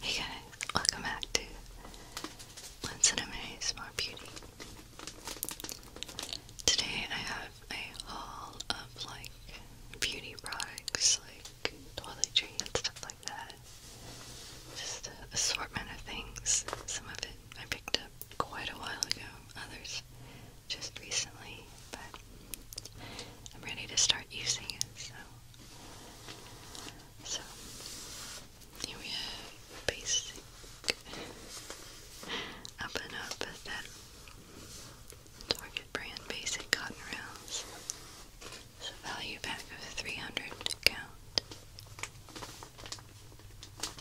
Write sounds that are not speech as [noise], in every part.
Hey guys, welcome back to Once in a More Beauty. Today I have a haul of like beauty products, like toiletry stuff like that. Just assortment of things. Some of I picked up quite a while ago, others just recently, but I'm ready to start using it, so. So, here we have basic up and up at that Target brand basic cotton rounds. It's value pack of 300 count.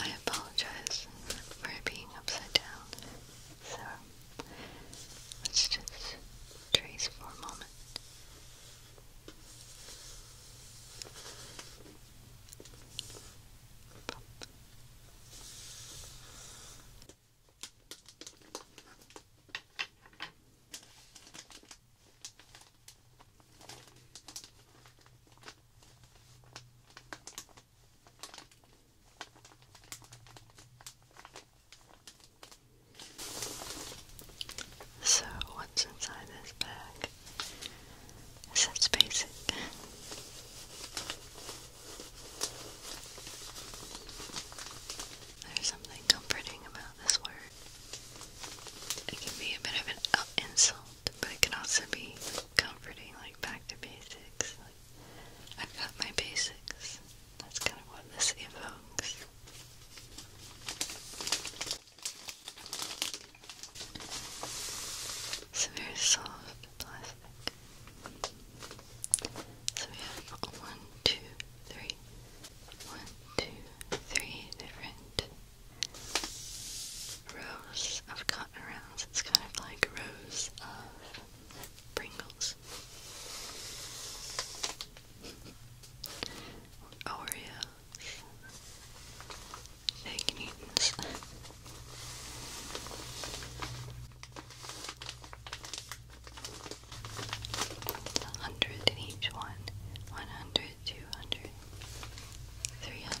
I apologize for being upside down. So let's just trace for a moment. So, what's inside this bag? basic. This basic. There's something comforting about this word. It can be a bit of an insult, but it can also be comforting, like back to basics. I've got my basics. That's kind of what this evokes. It's a very soft plastic. So we have one, two, three, one, two, three different rows of cotton rounds. It's kind of like rows of Pringles. Oreo Fake Newtons. hundred in each one. One hundred, two hundred, three hundred.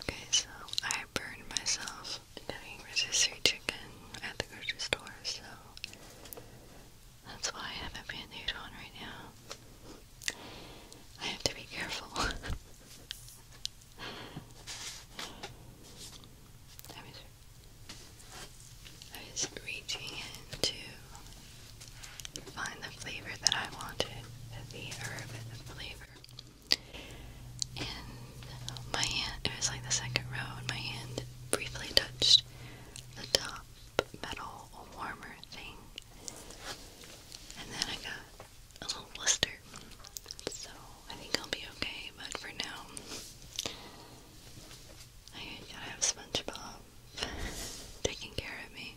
Okay, so I burned myself doing rotisserie chicken at the grocery store, so that's why I have a band on right now. I have to be careful. [laughs] I was reaching in to find the flavor that I wanted, the herb flavor and my hand, it was like the second row, and my hand briefly touched the top metal warmer thing, and then I got a little blister. So I think I'll be okay, but for now, I gotta have SpongeBob [laughs] taking care of me.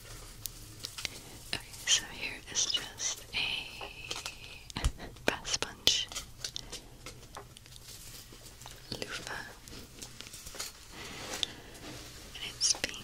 Okay, so here is just a bath [laughs] sponge, loofah, and it's pink.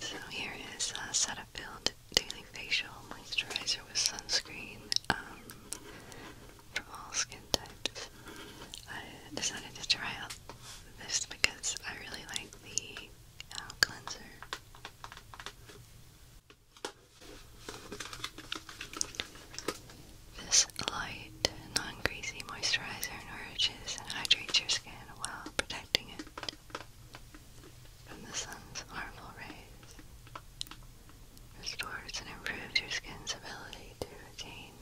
So here is a uh, Cetaphil Daily Facial Moisturizer with sunscreen um, for all skin types. I decided to try out this because I really like the uh, cleanser. This light, non-greasy moisturizer nourishes and hydrates your skin while protecting protecting it from the sun's harmful rays, restores and improves your skin's ability to retain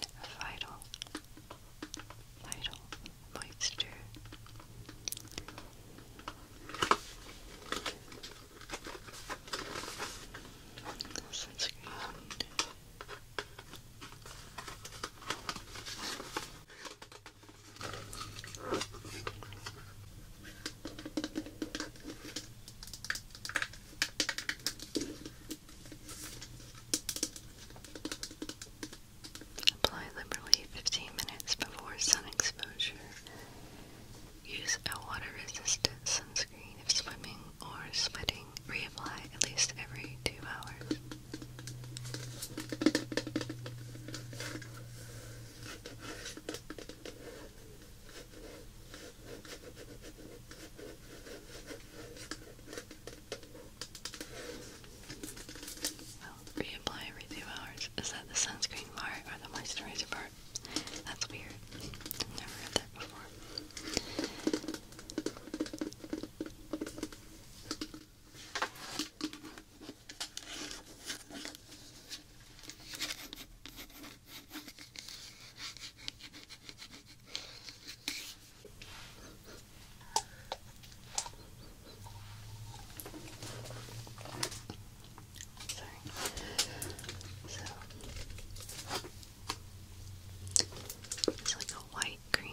vital, vital moisture. Sunscreen. Apply liberally 15 minutes before sun exposure. Use a water-resistant sunscreen if swimming or sweating. Reapply at least every two hours. Well, reapply every two hours. Is that the sunscreen part or the moisturizer part? That's weird. never read that before. Sorry. So it's like a white cream.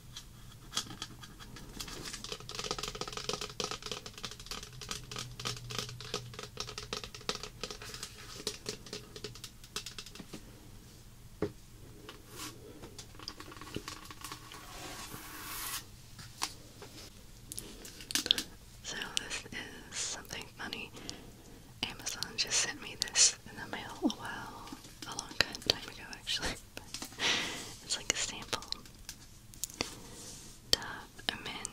So this is something funny. Amazon just sent me this in the mail a while, a long time ago actually. [laughs] it's like a sample. Dove, Amin,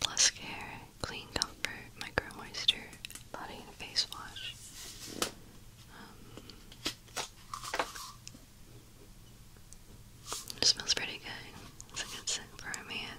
Plus Care, Clean Comfort, Micro Moisture, Body and Face Wash. Um, it smells pretty good. It's a good scent for a man.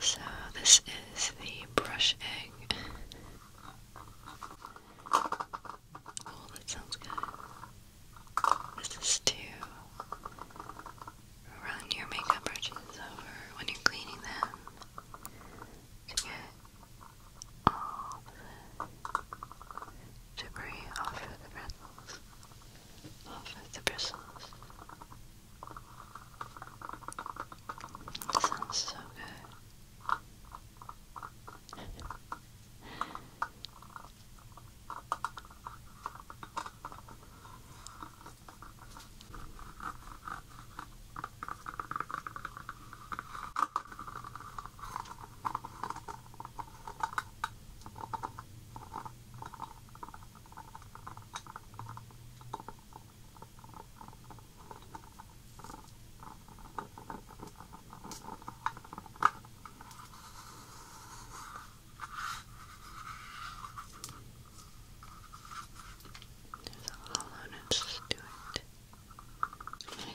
So, this is the brush egg. Oh, that sounds good. This is to run your makeup brushes over when you're cleaning them to get all to debris off of the bristles. Off of the bristles. That sounds so good. [laughs] There's a I'm going to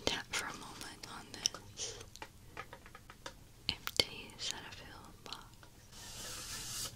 tap for a moment on this empty Cetaphil box.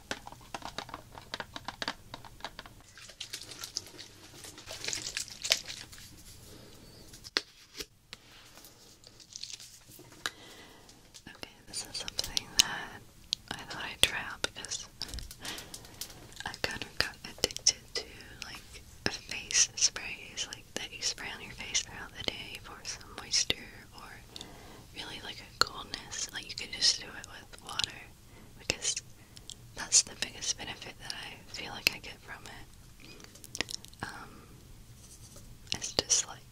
Okay, this is something that I thought I'd try out because I kind of got addicted to like face sprays like that you spray on your face throughout the day for some moisture or really like a coldness. Like you could just do it with water because that's the biggest benefit that I feel like I get from it. Um, it's just like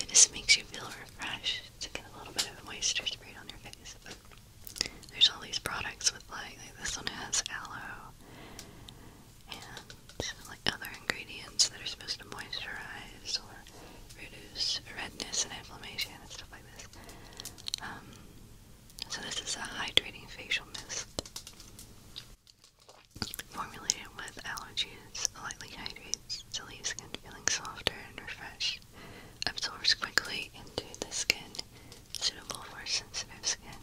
it just makes you feel refreshed to get a little bit of moisture sprayed on your face. But there's all these products with like, like this one has aloe and like other ingredients that are supposed to moisturize or reduce redness and inflammation and stuff like this. Um, so this is a hydrating facial mist formulated with aloe juice, lightly hydrates to leave skin feeling softer and refreshed, absorbs quickly into the skin, suitable for sensitive skin.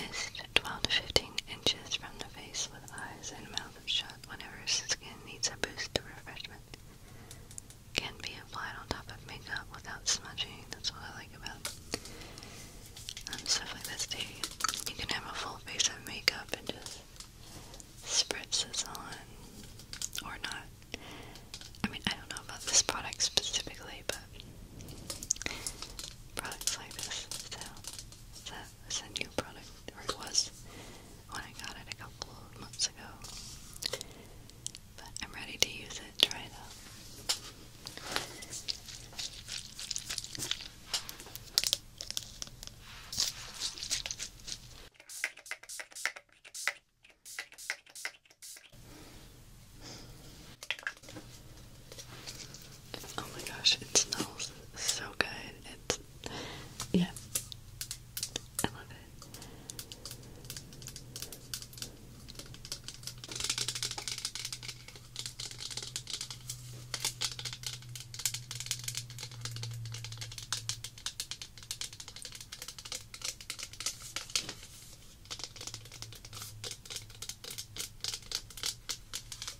Mist 12 to 15 inches from the face with eyes and mouth shut whenever skin needs a boost of refreshment. Can be applied on top of makeup without smudging. That's what I like about um, stuff like this You can have a full face of makeup and just spritz this on, or not. I mean, I don't know about this product specifically, but products like this. so it's a new product, or it was when I got it a couple of months ago. But I'm ready to use it, try it out. Oh my gosh, it smells so good. It's yeah, I love it.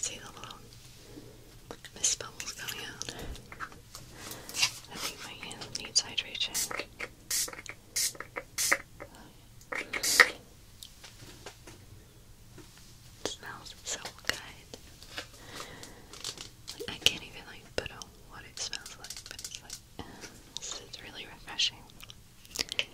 See the little mist bubbles coming out. I think my hand needs hydration. smells so good. I can't even like put on what it smells like, but it's like uh, [laughs] really refreshing. Okay.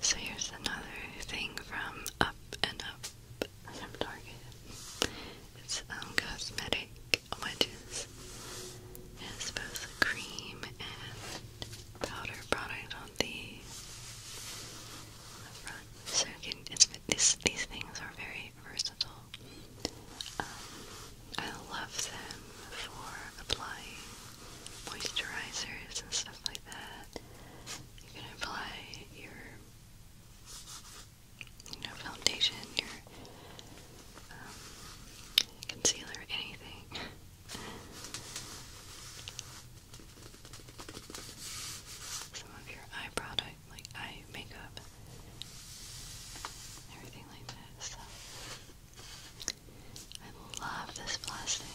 So here's another thing from Up and Up from Target. It's um cosmetic like wedges. It's both cream and powder product on the, front. So you these things are very versatile. Um, I love them for applying moisturizers and stuff like that. You can apply your you know, foundation, your um, concealer, anything. Some of your eye like eye makeup, everything like that. I love this plastic.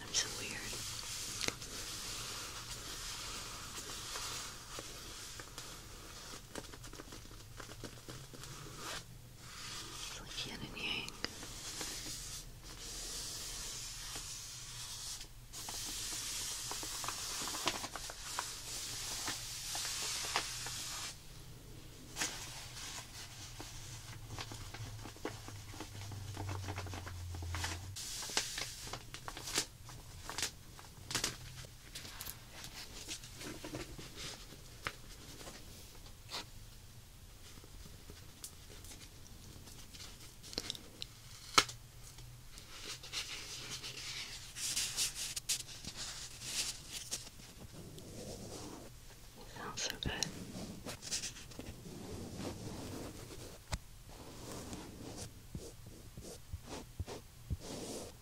I'm so weird. It's like yin and yang. Smells so good.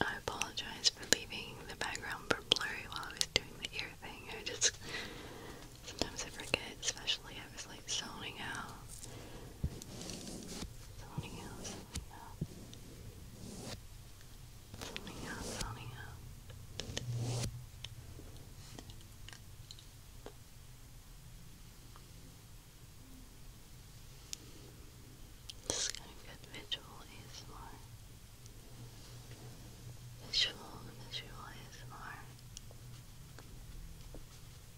I apologize for leaving the background for blurry while I was doing the ear thing. I just sometimes I forget, especially I was like zoning out Zoning out, zoning out. Zoning out, zoning out. This is kind of good visual Visual, visual ASMR.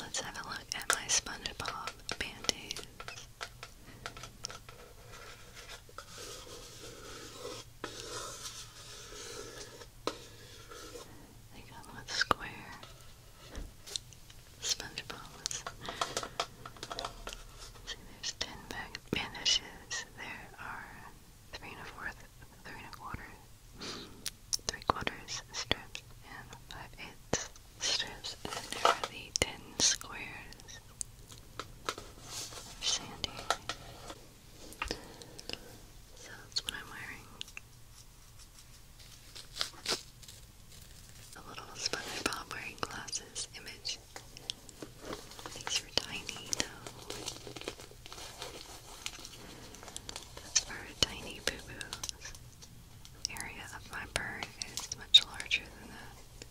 Let's have a look at my SpongeBob band They come with square SpongeBob's. See, there's ten bag bandages. There are three and a fourth, three and a quarter, three quarters strips, and five eighths strips, and there are the ten squares sandy. So that's what I'm wearing. A little SpongeBob wearing glasses image. These are tiny though. That's for tiny boo boos area of my burn is much larger than that. okay.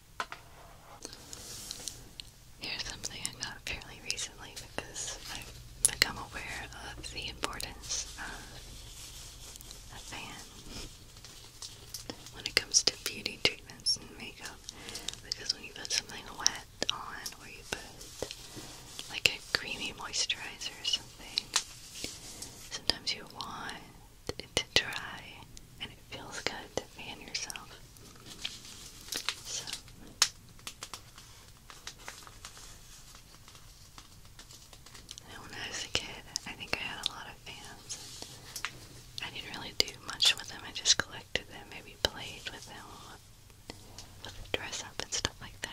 Here's something I got fairly recently because I've become aware of the importance of a fan when it comes to beauty treatments and makeup because when you put something wet on or you put like a creamy moisturizer or something, sometimes you want it to dry and it feels good to fan yourself. So. when I was a kid, I think I had a lot of fans. I didn't really do much with them. I just collected them, maybe played with them with dress up and stuff like that.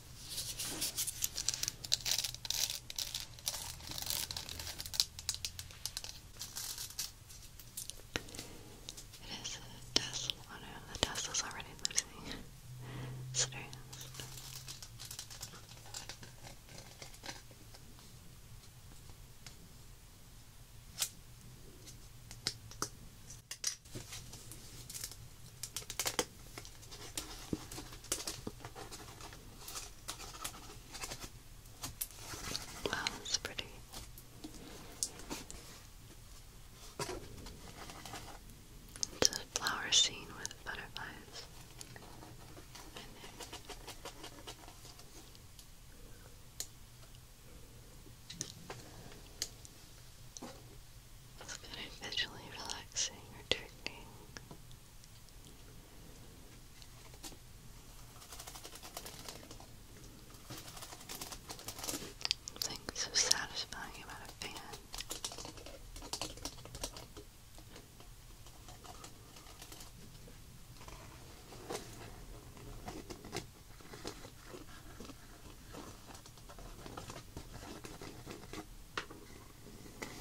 It is a Oh no, the test already losing strength. [laughs] Wow, that's pretty. It's a flower scene with butterflies it's kind of visually relaxing or triggering. Something so satisfying about a fan. You can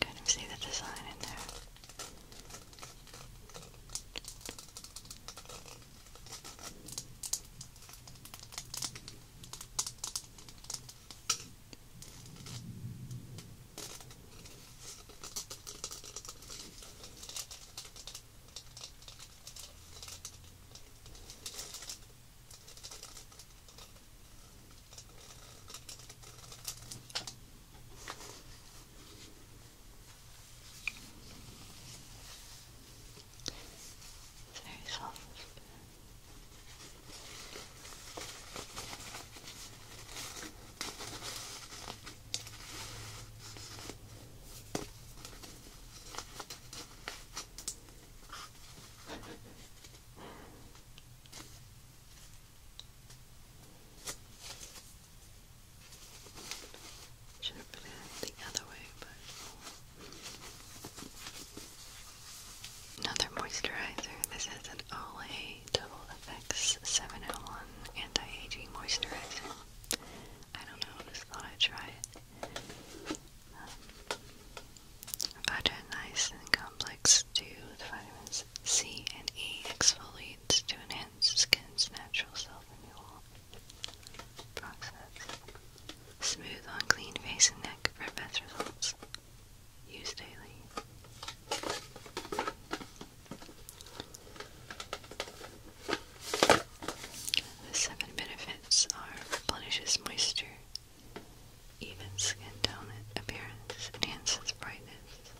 kind of see the design in there. It's very soft. Should have put it the other way, but Another moisturizer. This is an Olay Double FX 701 Anti-Aging Moisturizer. I don't know, just thought I'd try it. Um, Vitamin and Complex 2 with vitamins C and E exfoliates to enhance skin's natural self-renewal process. Smooth on clean face and neck for best results. Use daily. The seven benefits are replenishes moisture, evens skin tone appearance, enhances brightness,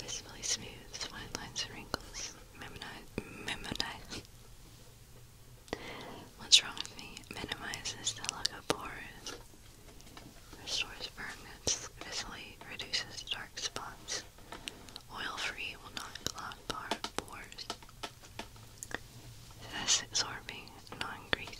visibly smooths fine lines and wrinkles, memonize, memonize, What's wrong with me? Minimizes the look of pores. Restores firmness. Visibly reduces dark spots. Oil-free will not clog pores. That's absorbing, non-greasy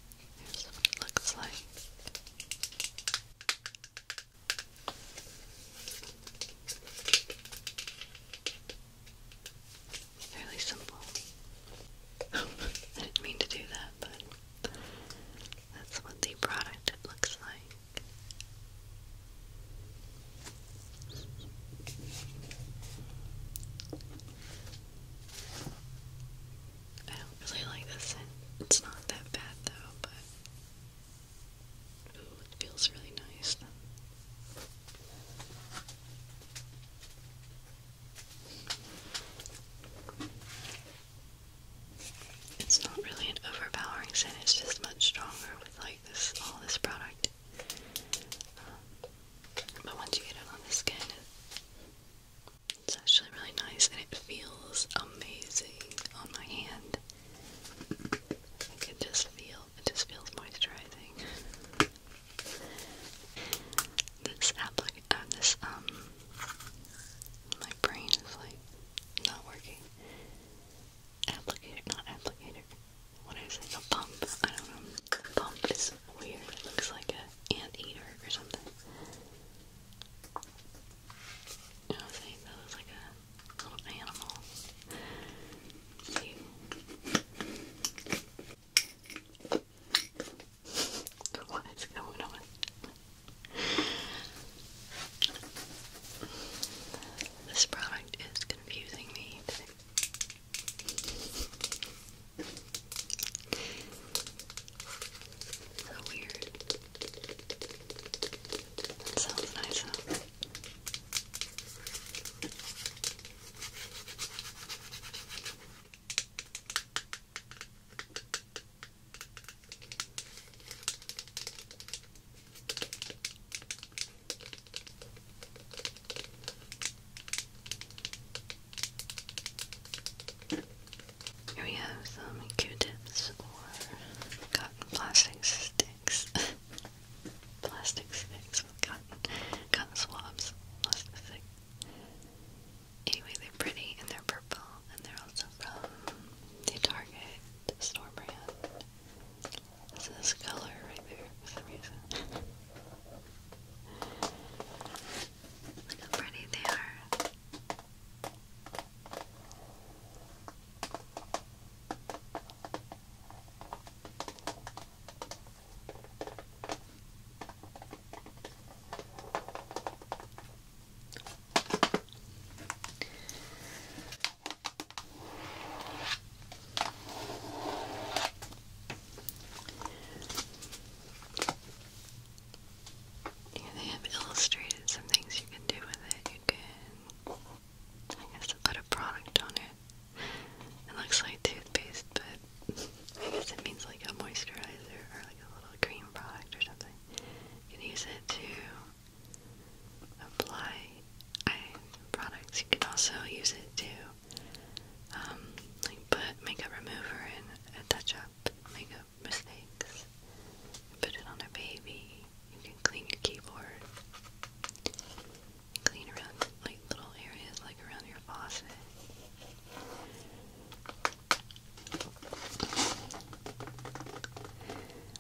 it looks like. Fairly simple. [laughs] I didn't mean to do that, but that's what the product looks like. I don't really like this scent. It's not that bad though, but ooh, it feels really nice It's not really an overpowering scent, it's just much stronger with like this all this product. Um, but once you get it on the skin, it's actually really nice and it feels amazing on my hand. I just feel it just feels moisturizing. This applic uh, this um my brain is like not working. Applicator not applicator. What is it? A pump? I don't know. Pump is weird. It looks like an eater or something. I'm saying? That looks like a little animal. What is going on? This product is confusing me. So weird. That sounds nice though. Here we have some Q-tips or cotton plastic sticks. [laughs] plastic sticks with cotton, cotton swabs. Anyway, they're pretty and they're purple and they're also from the Target store brand. This is color right there for some reason. [laughs] Look how pretty they are they have illustrated some things you can do with it. You can, I guess, put a product on it. It looks like toothpaste, but I guess it means like a moisturizer or like a little cream product or something. You can use it to apply eye products. You can also use it to um, like put makeup remover and a touch up make up mistakes. You put it on a baby. You can clean your keyboard. Clean around like little areas like around your faucet.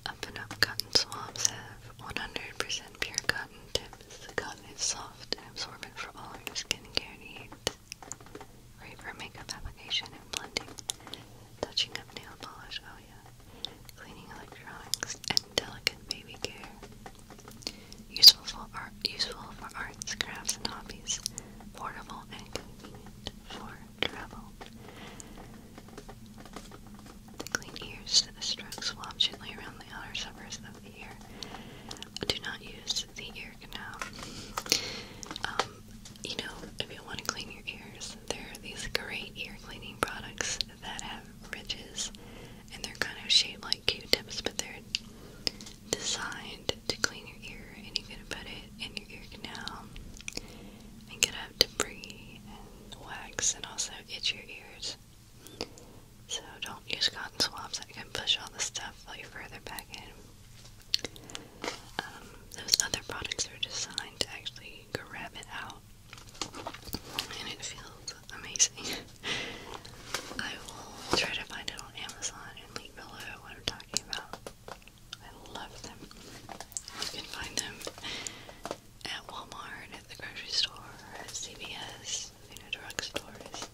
Up and Up Cotton Swabs have 100% pure cotton tips. cotton is soft and absorbent for all your skincare needs. Great for makeup application and blending. Touching up nail polish, oh yeah. Cleaning electronics and delicate baby care. Useful for art, useful for arts, crafts, and hobbies. Portable and convenient for travel. The clean ears. The strokes swab gently around the outer surface of the ear. Do not use the ear canal. Um, you know, if you want to clean your ears, there are these great ear cleaning products that have ridges, and they're kind of shaped like Q-tips, but they're designed to clean your ear, and you can put it in your ear canal and get out debris and wax, and also itch your ears. So don't use cotton swabs that can push all the stuff further back in. Um, those other products are designed to actually grab it out, and it feels amazing. [laughs] I will try to find it on Amazon and leave below what I'm talking about. I love them. You can find them at Walmart, at the grocery store, at CVS, you know, drugstores.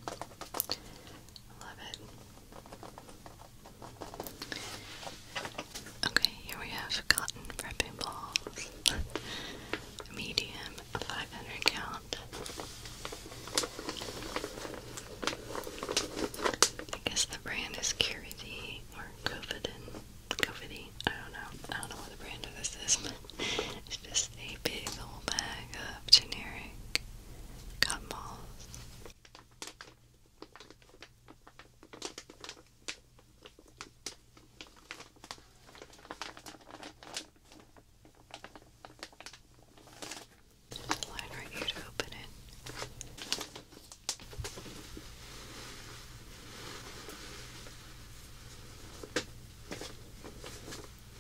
love it. Okay, here we have cotton prepping balls. [laughs] Medium, 500 count. I guess the brand is Curity or Covidin. Covidi? I don't know. I don't know what the brand of this is, [laughs] it's just a big old bag of generic cotton balls. There's a line right here to open it.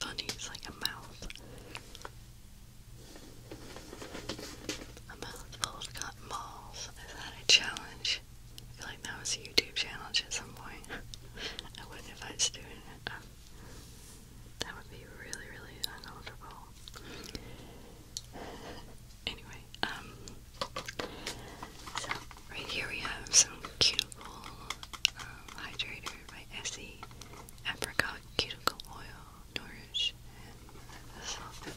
Bunny's like a mouth. A mouthful of cotton balls. Is that a challenge? I feel like that was a YouTube challenge at some point. [laughs] I wouldn't if I was doing it. Uh, that would be really, really uncomfortable. Anyway, um, so right here we have some cuticle um, hydrator by Essie apricot cuticle oil nourish and soften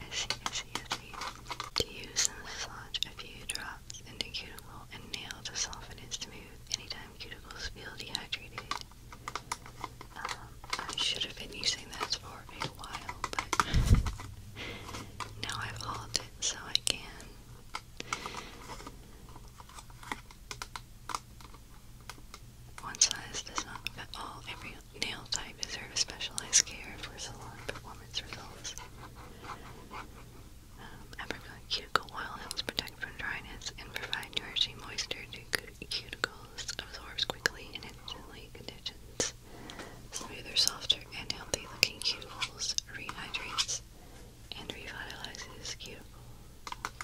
as he, as he, as he. To use and massage a few drops into cuticle and nail to soften and smooth anytime cuticles feel dehydrated. Um, I should have been using that for a while, but now I've hauled so I can. One size does not fit all. Every nail type deserves specialized care for salon performance results. Um, apricot cuticle oil helps protect from dryness and provide nourishing moisture to cuticles, absorbs quickly and instantly conditions smoother, softer, and healthy-looking cuticles, rehydrates, and revitalizes cuticles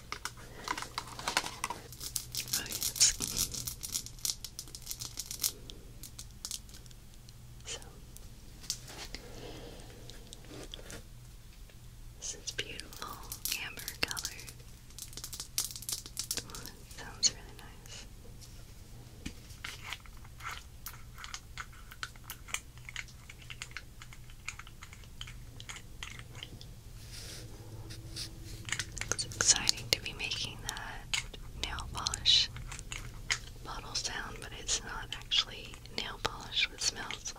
this is beautiful amber color. sounds really nice. It's exciting to be making that nail polish bottle sound, but it's not actually nail polish, it smells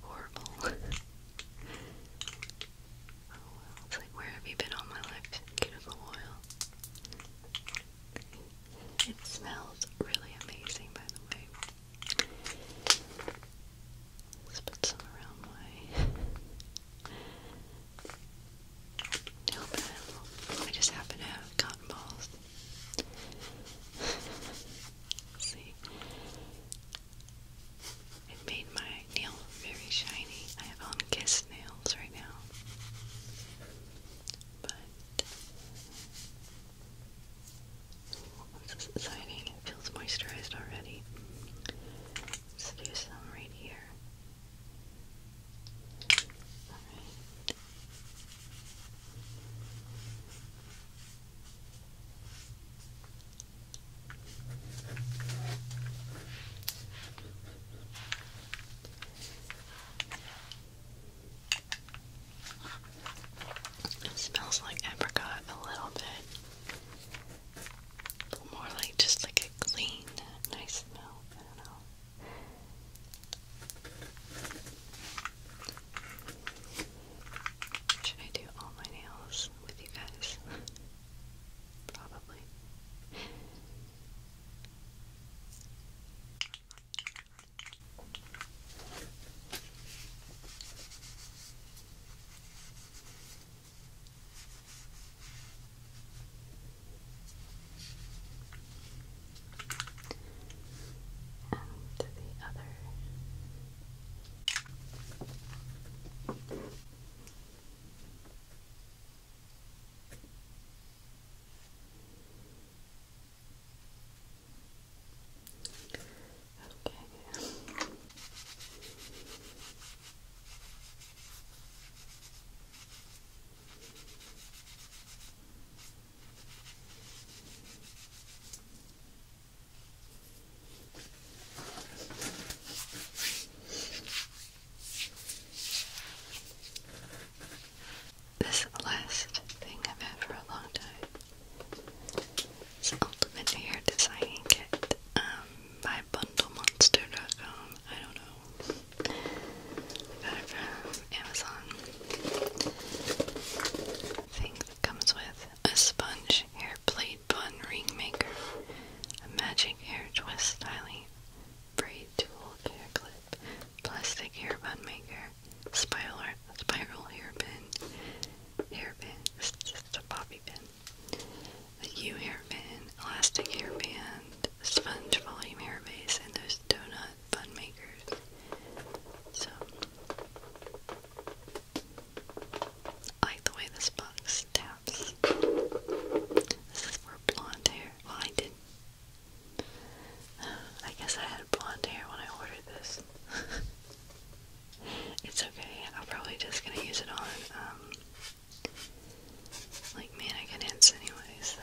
horrible. [laughs] Oh, it's like, where have you been all my life, cuticle oil? It smells really amazing, by the way put some around my [laughs] notepad. I just happen to have cotton balls. [laughs] See? It made my nail very shiny. I have on kiss nails right now. But this exciting. It feels moisturized already. let do some right here. It smells like apricot a little bit more like just like a clean, nice smell. Should I do all my nails with you guys? Probably and the other. Okay. This last thing I've had for a long time. It's an ultimate hair designing kit um, by bundlemonster.com. I don't know. I got Amazon. Thing comes with a sponge hair plate bun ring maker, a magic hair twist styling, braid tool hair clip, plastic hair bun maker, spiral spiral hairpin, hairpin. It's just a poppy pin the U hairband, elastic hairband, sponge volume hair base, and those donut bun makers. So, I like the way this box taps. This is for blonde hair. Well, I did. [sighs] I guess I had blonde hair when I ordered this. [laughs] It's okay. I'm probably just gonna use it on, um, like mannequin hints anyway, so.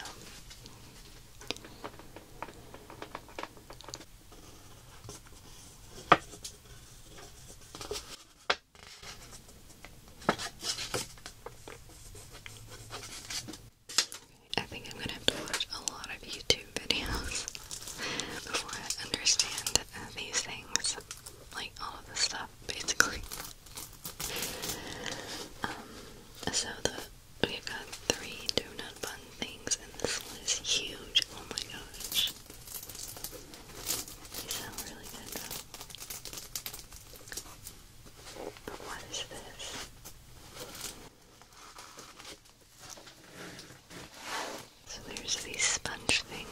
I think I'm gonna have to watch a lot of YouTube videos [laughs] before I understand uh, these things like all of this stuff basically. Um, so the we got three donut bun things, and this one is huge. Oh my gosh, they sound really good though. But what is this? So there's these sponge things.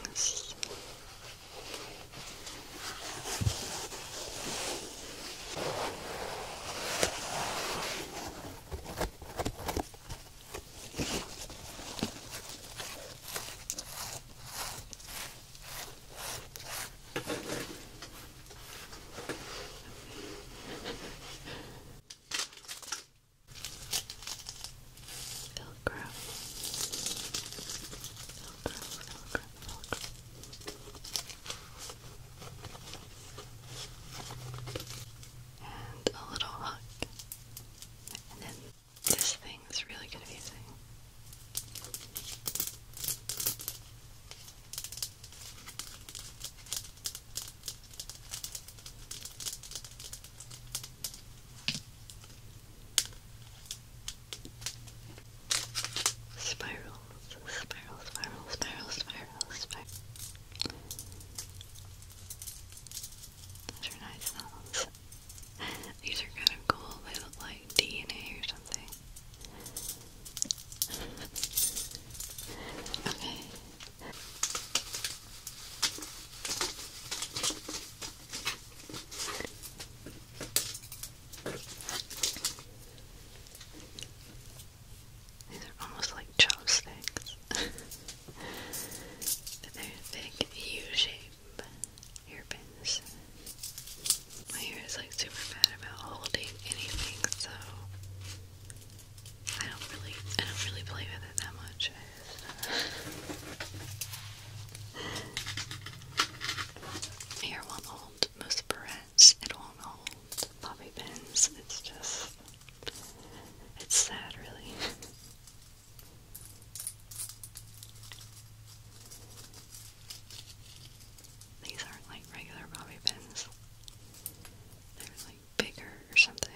Velcro. Velcro, Velcro, Velcro. And a little hook. And then this thing is really confusing. Spirals, spiral, spiral, spiral, spiral, spiral. Those are nice sounds. These are kind of cool. They look like DNA or something. okay. These are almost like chopsticks. but [laughs] they're big U-shape hairpins. My hair is like super bad about holding anything, so I don't really I don't really play with it that much. Here won't hold most barrettes, it won't hold bobby pins, it's just, it's sad really. These aren't like regular bobby pins. They're like bigger or something.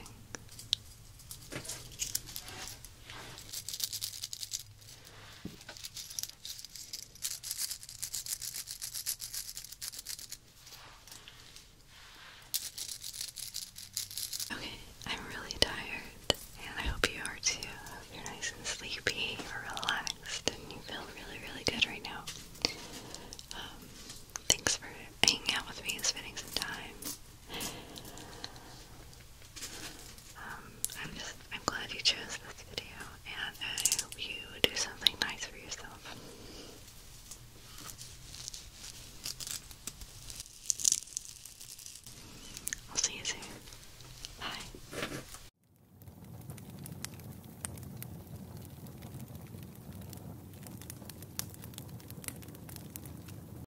Okay, I'm really tired, and I hope you are too. I hope you're nice and sleepy or relaxed, and you feel really, really good right now. Um, thanks for hanging out with me and spending some time. Um, I'm just, I'm glad you chose this video, and I hope you do something nice for yourself. I'll see you soon. Bye.